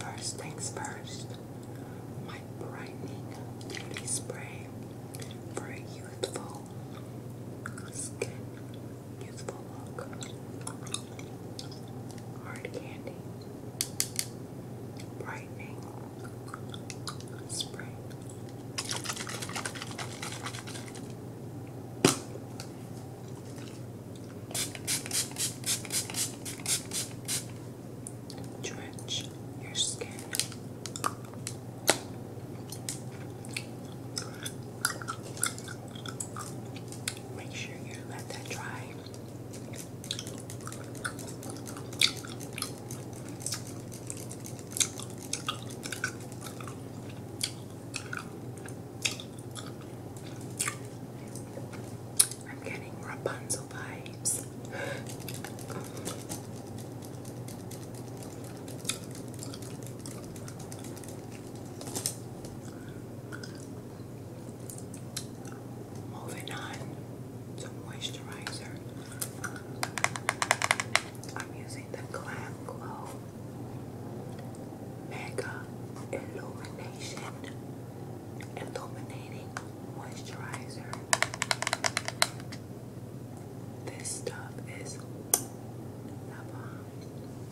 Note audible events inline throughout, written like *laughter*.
First things first, my brightening beauty spray for youthful skin youthful look. Hard candy. Brightening. Spray. Drench your skin. Make sure you let that dry. I'm getting Rapunzel vibes. Moving on to moisturizer. I'm using the Glam Glow Mega Illumination Illuminating Moisturizer. This stuff is bomb. Uh,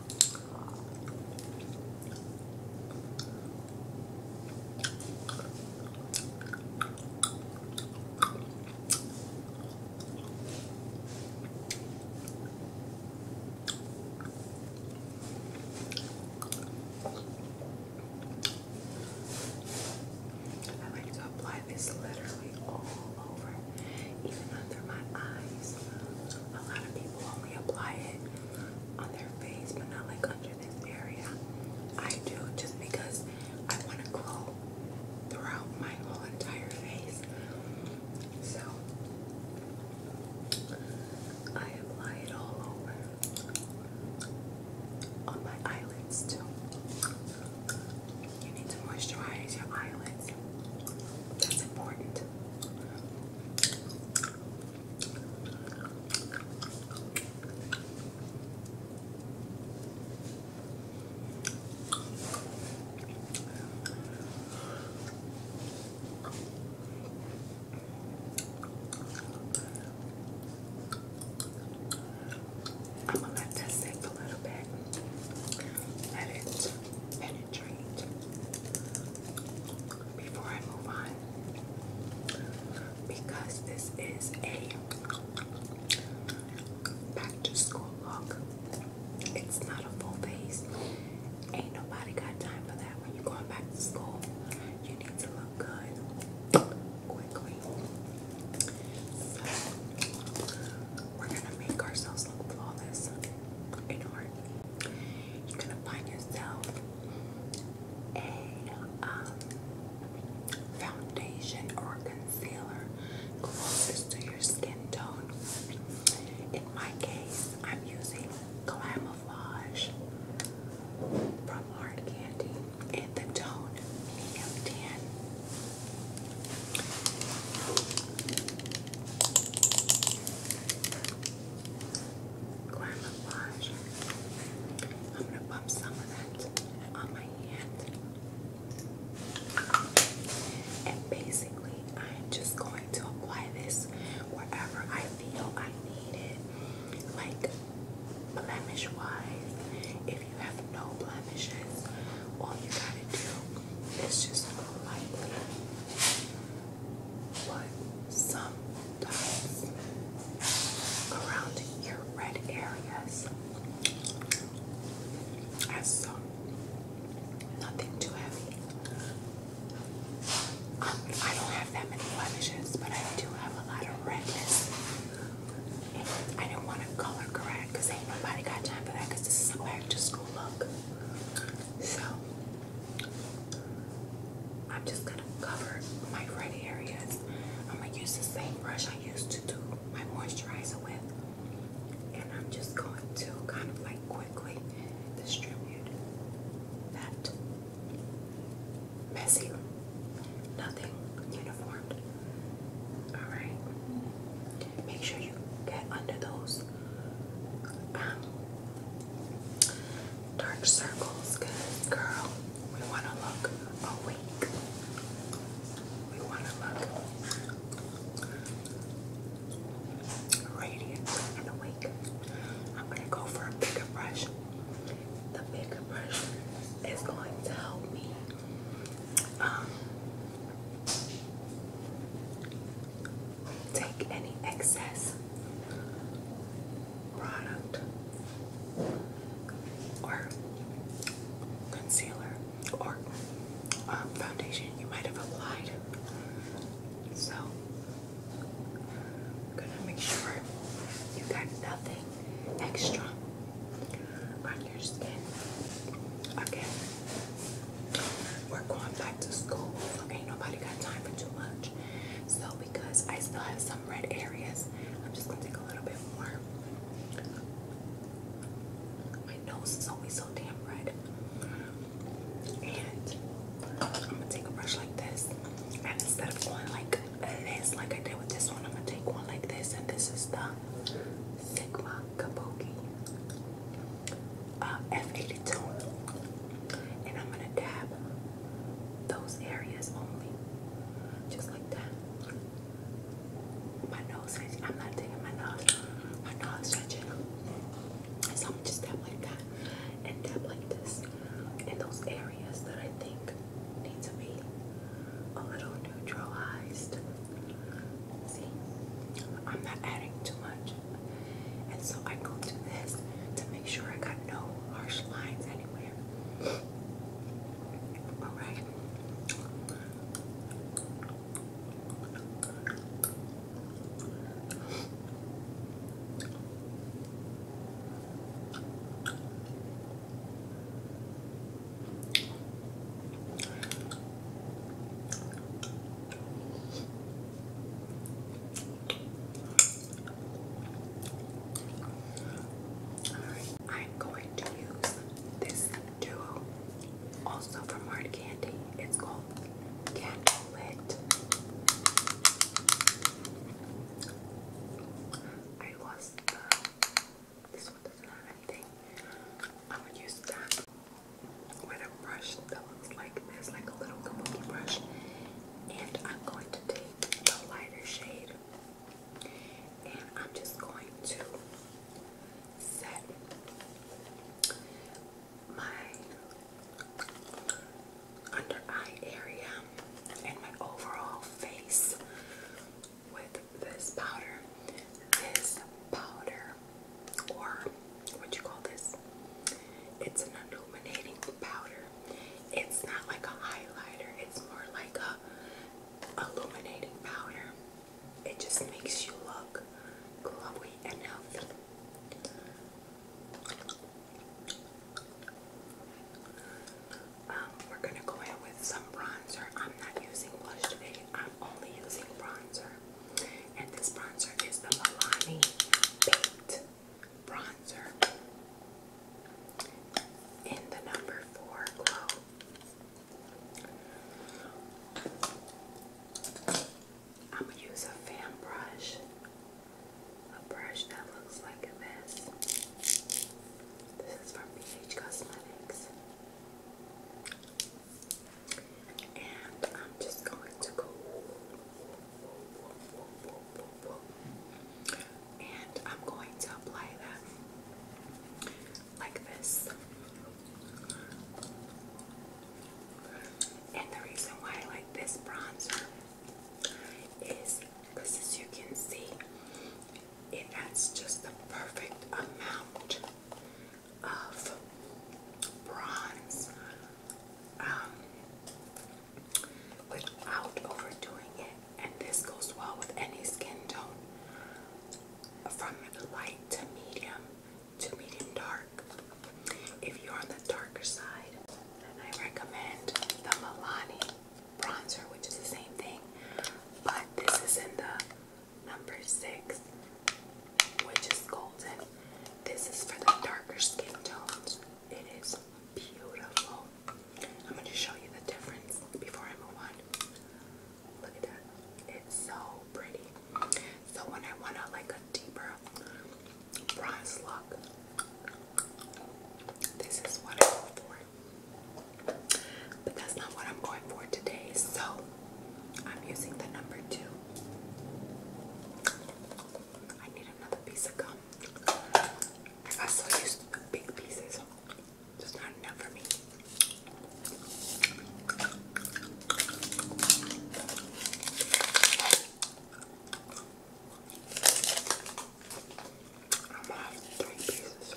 I like to apply this literally all over, even under my eyes. A lot of people only apply it on their face, but not like under this area. I do just because I want to grow throughout my whole entire face. So I apply it all over on my eyelids too. You need to moisturize your eyelids. That's important. I'm gonna let that sit a little bit. Let it penetrate before I move on because this is a back to school look. It's not a full face. Ain't nobody got time for that when you're going back to school. You need to look good quickly. we're gonna make ourselves look flawless in order you're gonna find yourself a um, foundation or concealer closest to your skin tone. In my case, I'm using Camouflage from Hard Candy in the tone medium 10. Glam I'm gonna bump some of that on my hand. And basically, I'm just going to apply this wherever I feel I need it. Like blemish wise, if you have no blemishes, all you gotta do is just lightly but sometimes around your red areas, as some, nothing too heavy. Um, I don't have that many blemishes, but I do have a lot of redness. I didn't want to color correct because ain't nobody got time for that because this is a back to school look. So I'm just gonna cover my red areas. I'm gonna use the same brush I used to do my moisturizer with, and I'm just going to kind of like quickly distribute that messy, nothing uniformed. All right, make sure you get under those dark circles, good girl. We want to look awake. We want to look radiant and awake. I'm going to go for a bigger brush. The bigger brush is going to help me um, take any excess product or concealer or um, foundation you might have applied. So, gonna make sure you got nothing extra on your skin. Again, we're going back to school, ain't nobody got time for too much. So because I still have some red areas, I'm just gonna take a little bit more. My nose is always so damn red. And I'm gonna take a brush like this. And instead of going like this, like I did with this one, I'm gonna take one like this. And this is the Sigma Kabuki uh, F80 tone, and I'm gonna dab those areas only, just like that. My nose itching. I'm not taking my nose. My nose itching. So I'm just dab like that, and dab like this, in those areas that I think need to be a little neutralized. See, I'm not adding too much. And so I go to this to make sure I got no harsh lines anywhere. Alright. Alright, I'm going to use this duo also from Hard Candy. It's called Candlelit. I lost This one doesn't I'm gonna use that with a brush that looks like this, like a little kabuki brush. And I'm going to take the lighter shade and I'm just going to set my under eye area and my overall face with this powder. This powder or what you call this? It's an illuminating powder. It's not like a highlighter. It's more like a illuminating powder. It just makes you look glowy and healthy. Um, we're gonna go in with some bronzer. I'm not using blush today. I'm only using bronzer. And this bronzer is the Milani Paint Bronzer in the number 4 glow. I'm going to use a fan brush, a brush that looks like this. This is from BH Cosmetics. And I'm just going to go and I'm going to apply that like this. And the reason why I like this bronzer is because as you can see, it has just the perfect amount of bronze um, without overdoing it. And this goes well with any skin tone from light to medium to medium dark. If you're on the darker side, then I recommend the Milani bronzer, which is the same thing, but this is in the number six, which is golden. This is for the darker skin tones. It is beautiful. I'm going to show you the difference before I move on. Look at that. It's so pretty. So when I want a, like a deeper bronze look, this is what I go for. But that's not what I'm going for today. So I'm using the number two. I need another piece of gum. I still use big pieces, just not enough for me. I'm gonna have three pieces.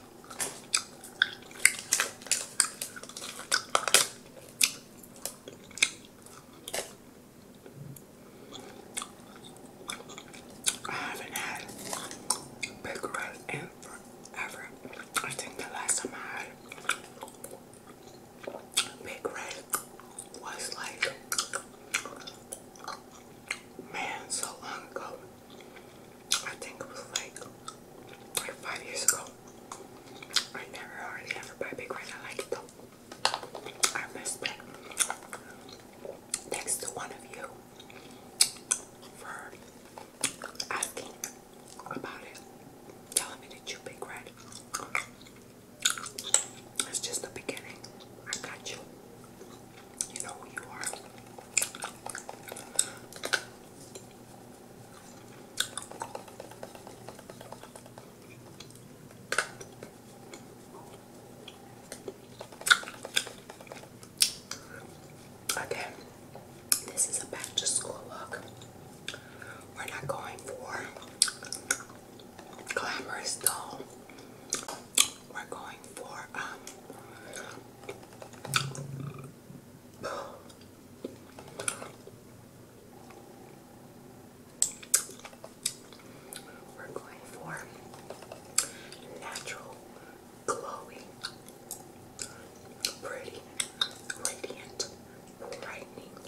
I haven't had big red in forever. I think the last time I had big red was like man so long ago. I think it was like like five years ago. I never already ever buy big red. I like it though. I miss that. Thanks to one of you for asking about it. Telling me that you big red. It's just the beginning. I got you. You know who you are. Okay, this is a back to school look. We're not going for glamorous doll. We're going for um we're going for natural, glowing, pretty, radiant, brightening,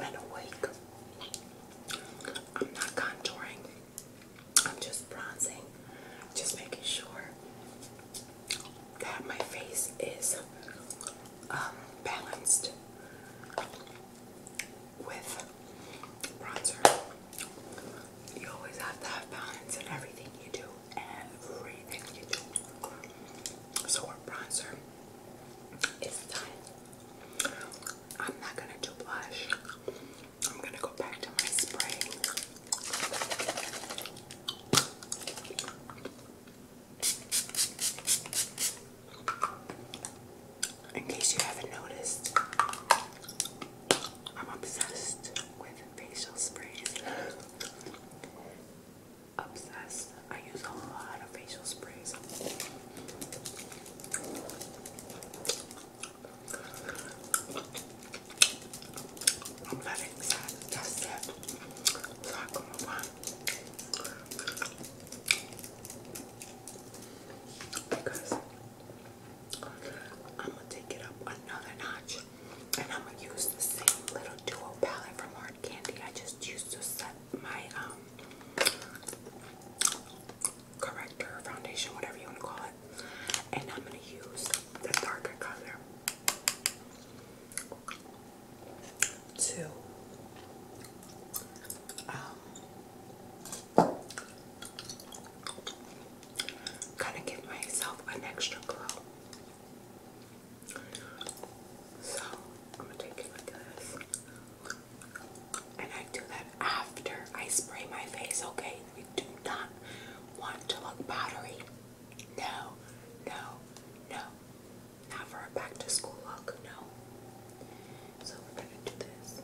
and awake. I'm not contouring. I'm just bronzing, just making sure that my face is um, balanced with bronzer. You always have to have balance in everything you do, everything you do. So, our bronzer is done. I'm not gonna do blush. I'm gonna go back to my spray in case you haven't noticed, I'm obsessed with facial sprays. Obsessed. I use a lot of facial sprays. I'm gonna take it up another notch and I'm gonna use the same little duo palette from Hard Candy I just used to set my um, corrector, foundation, whatever you want to call it. And I'm gonna use the darker color Two. um, kind of give myself an extra glow. So I'm gonna take it like this, and I do that after I spray my face. Okay, we do not want to look powdery. No, no, no. Not for a back to school look, no. So we're gonna do this.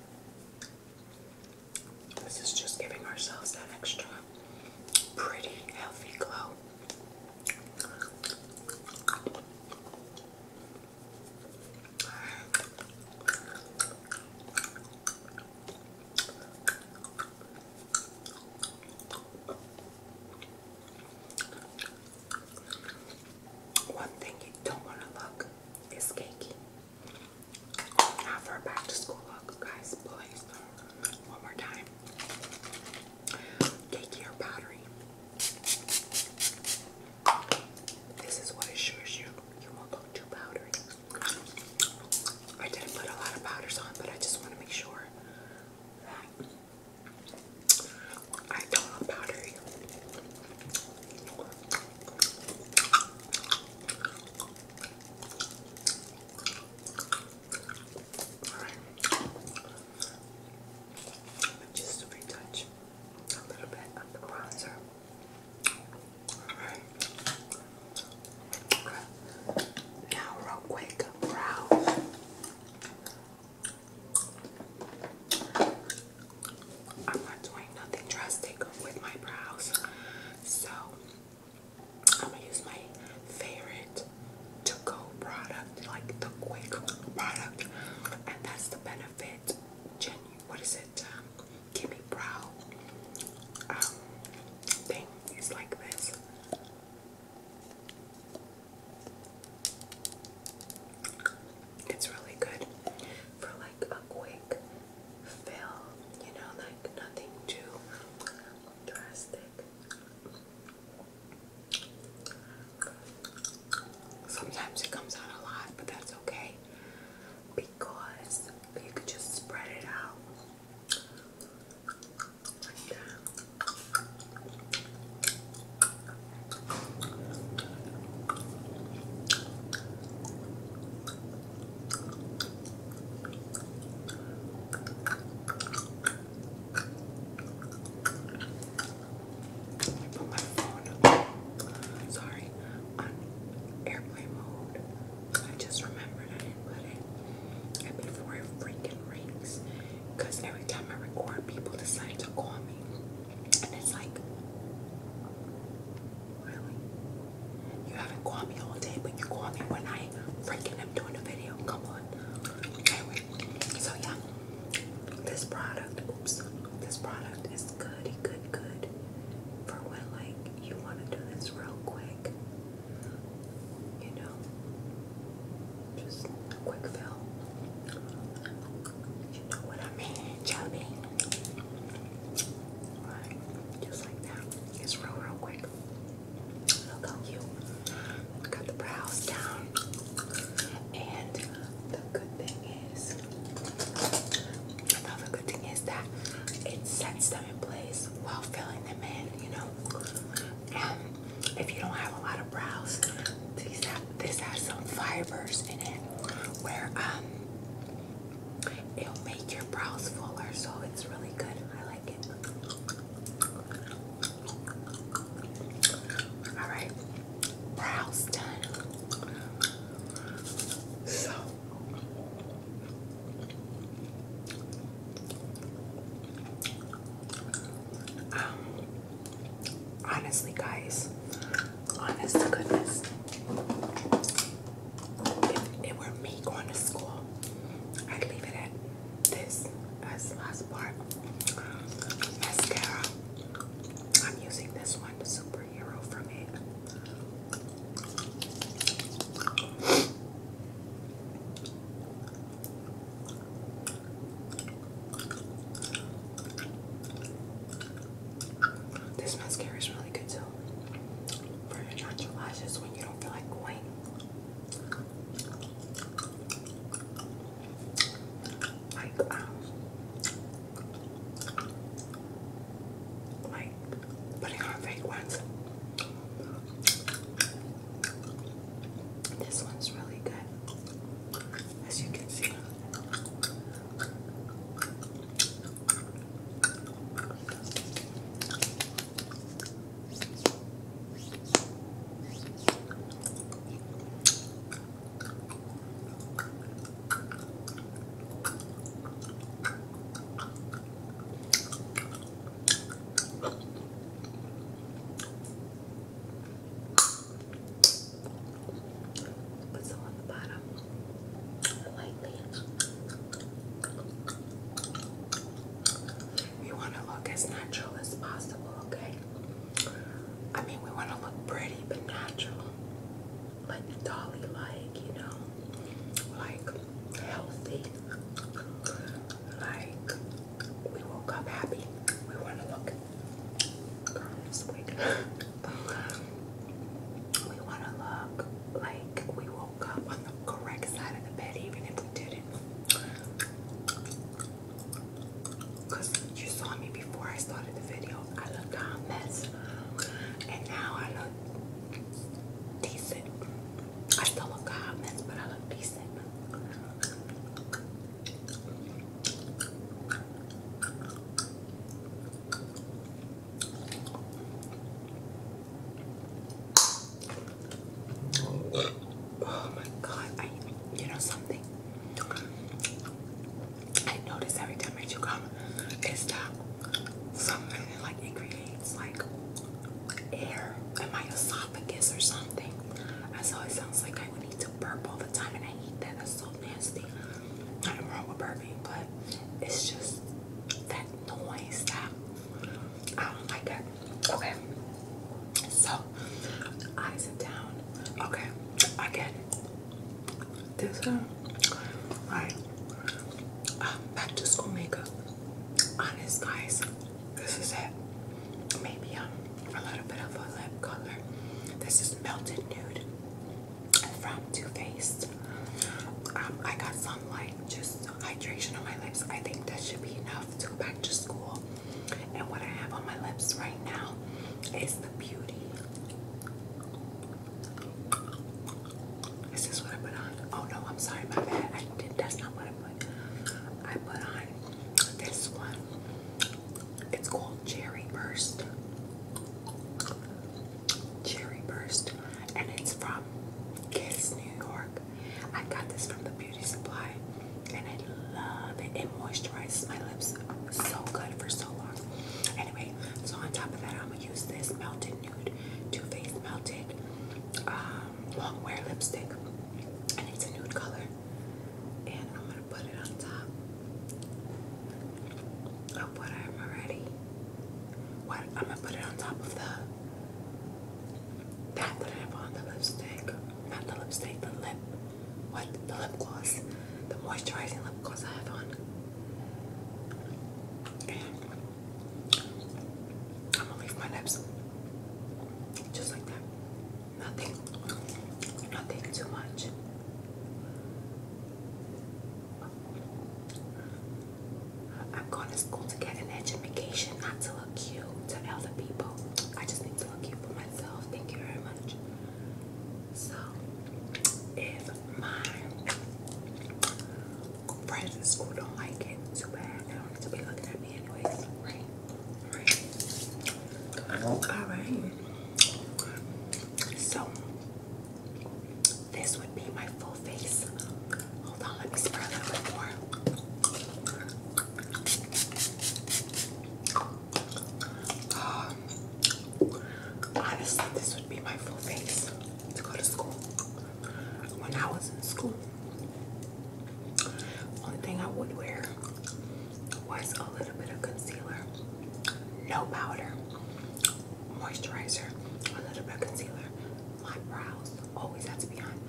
This is just giving ourselves that extra pretty, healthy glow. One thing you don't want to look is cakey. Now for a back to school look, guys, please. One more time. Cakey or powdery. This is what assures you you won't look too powdery. I didn't put a lot of powders on, but I just want to make sure I don't know powder. Alright. Just to retouch a little bit of bronzer. Alright. Now, real quick, brows. I'm not doing nothing drastic with my brows, so I'm gonna use my favorite to go product, like the quick product, and that's the benefit. what is it? Um, Give me brow um, thing. It's like this. It's really good for like a quick fill, you know, like nothing too drastic. Sometimes it comes out a lot, but that's okay because you could just spread it out. I put my phone, sorry, on airplane mode I just remembered I didn't put it. I pay it freaking rings. Because every time I record, people decide to call me. And it's like, really? You haven't called me all day, but you call me when I freaking am doing a video. Come on. Anyway, so yeah. This product, oops, this product is good, good, good for when like you want to do this real quick you know, just quick fill. You know what I mean, chubby. Right, just like that. It's real, real quick. Look how cute. Got the brows down. And the good thing is, another good thing is that it sets Place while filling them in, you know. Um, if you don't have a lot of brows, this has some fibers in it where um, it'll make your brows fuller, so it's really good. I like it. All right, brows done. So um, honestly, guys, honest to goodness, if it were me going to school, I'd leave it at this as last part. Mascara. I'm using this one, superhero from it. This mascara is really good too for your natural lashes when you don't feel like going. like um, putting on fake ones. This one's really good, as you can see. We want to look as natural as possible, okay? I mean, we want to look pretty but natural, like Dolly, like you know, like healthy. Like we woke up happy. We want to look. Girl, *laughs* we want to look like we woke up on the correct side of the bed, even if we didn't. Because you saw me before I started the video. I looked a mess. And now I decent. I still look hot but I look decent. Oh my god, I you know something I notice every time I chew gum is that something like it creates like air in my esophagus or something. That's how sounds like I need to burp all the time, and I hate that. That's so nasty. Nothing wrong with burping, but it's just that noise that I don't like it. Okay, so I sit down. Okay, again, this one, like um, back to school makeup. Honest, guys, this is it. Maybe um, a little bit of a lip color. This is melted nude from Too Faced. Um, I got some like just hydration on my lips. I think that should be enough to go back to school. And what I have on my lips right now is the beauty. Is this what I put on? Oh no, I'm sorry, my bad. that's not what I put. I put on this one. It's called Cherry Burst. Cherry Burst. And it's from Kiss New York. I got this from the beauty supply. And I love it. It moisturizes my lips so good for so long. Anyway, so on top of that, I'm gonna use this melted nude Too Faced melted um, long wear lipstick, and it's a nude color. And I'm gonna put it on top of what i already. What I'm gonna put it on top of the that that I have on the lipstick, not the lipstick, the lip. What the lip gloss, the moisturizing lip gloss I have on. I'm gonna leave my lips just like that. Nothing, nothing too much. I'm going to school to get an education, not to look cute to other people. I just need to look cute for myself. Thank you very much. So, if my friends in school don't like it. Too bad. They don't need to be looking at me anyways. Right. Right. Alright. So this would be my full face. Hold on, let me spread a little bit more. Um, honestly, this would be my full face to go to school when I was in school, only thing I would wear was a little bit of concealer, no powder, moisturizer, a little bit of concealer. My brows always had to be on.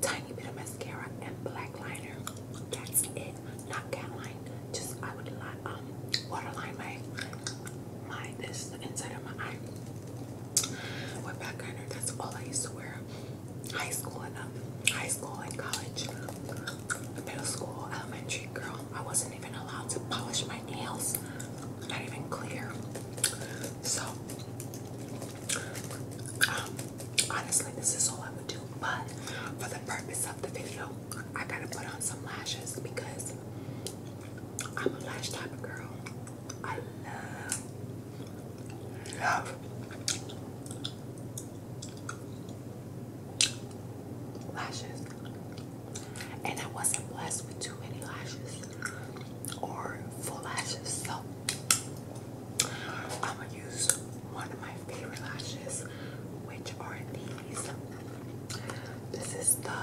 Tiny bit of mascara and black liner. That's it. Not cat eye. Just I would um waterline my my this is the inside of my eye with back liner. That's all I used to wear. High school and um, high school and college, middle school, elementary. Girl, I wasn't even allowed to polish my nails. Not even clear. So, um, honestly, this is all I would do. But for the purpose of the video, I gotta put on some lashes because I'm a lash type of girl. I love, love lashes. And I wasn't blessed with too many lashes or full lashes. So I'm going to use one of my favorite lashes, which are these. This is the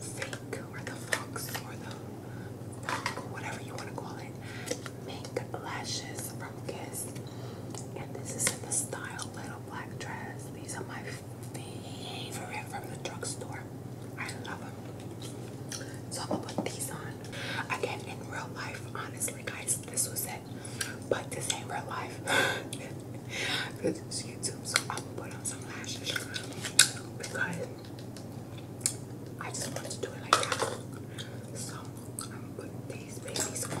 fake or the fox or the whatever you want to call it mink lashes from Kiss. And this is in the style little black dress. These are my favorite from the drugstore. I love them. So I'm gonna put these on. Again, in real life, honestly, guys, this was it. But this ain't real life. *laughs* YouTube, so I gonna put on some lashes because I just want to do it like that. So I'm gonna put these babies on.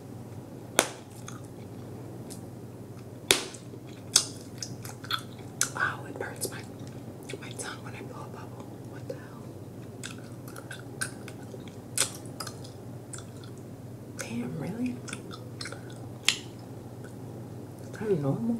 Wow, oh, it burns my my tongue when I blow a bubble. What the hell? Damn, really? Kind normal.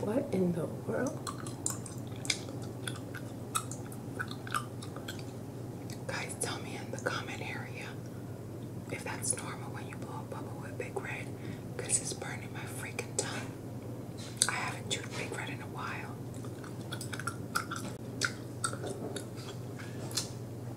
What in the world? Guys, tell me in the comment area if that's normal when you blow a bubble with Big Red it's burning my freaking tongue. I haven't chewed Big Red in a while.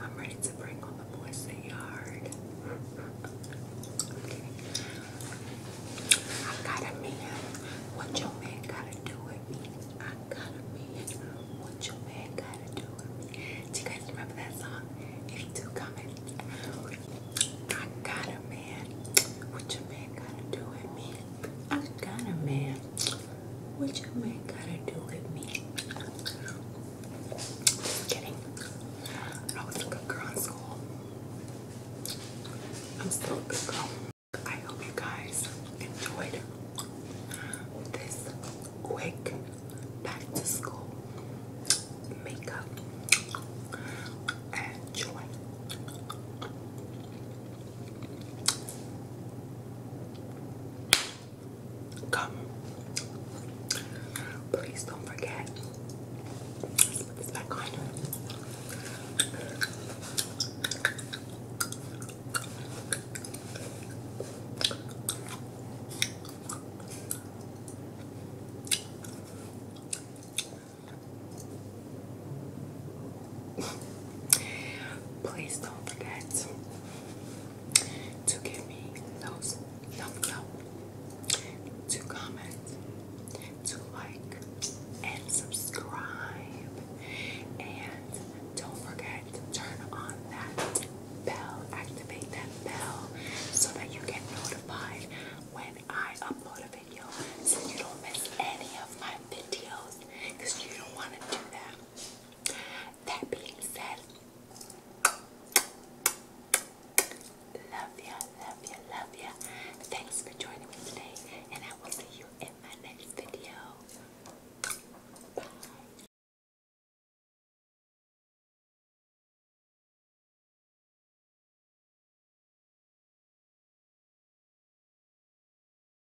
I'm ready to bring on the boys in the yard. I got a man. What your man gotta do with me? I got a man. What your man gotta do with me? Do you guys remember that song? If you do comment. I got a man. What your man gotta do with me? I got a man. What you man gotta do with me? Just kidding. I was a good girl in school. I'm still a good girl. I hope you guys enjoyed this quick back to school makeup and joy. Come. Please don't forget. put this back on. Please don't forget to give me those thumbs up, to comment, to like, and subscribe. And don't forget to turn on that bell, activate that bell so that you get notified when I upload a video so you don't miss any of my videos because you don't want to do that. That being said, love ya, love ya, love ya. Thanks for joining me today, and I will see you in my next video. Bye.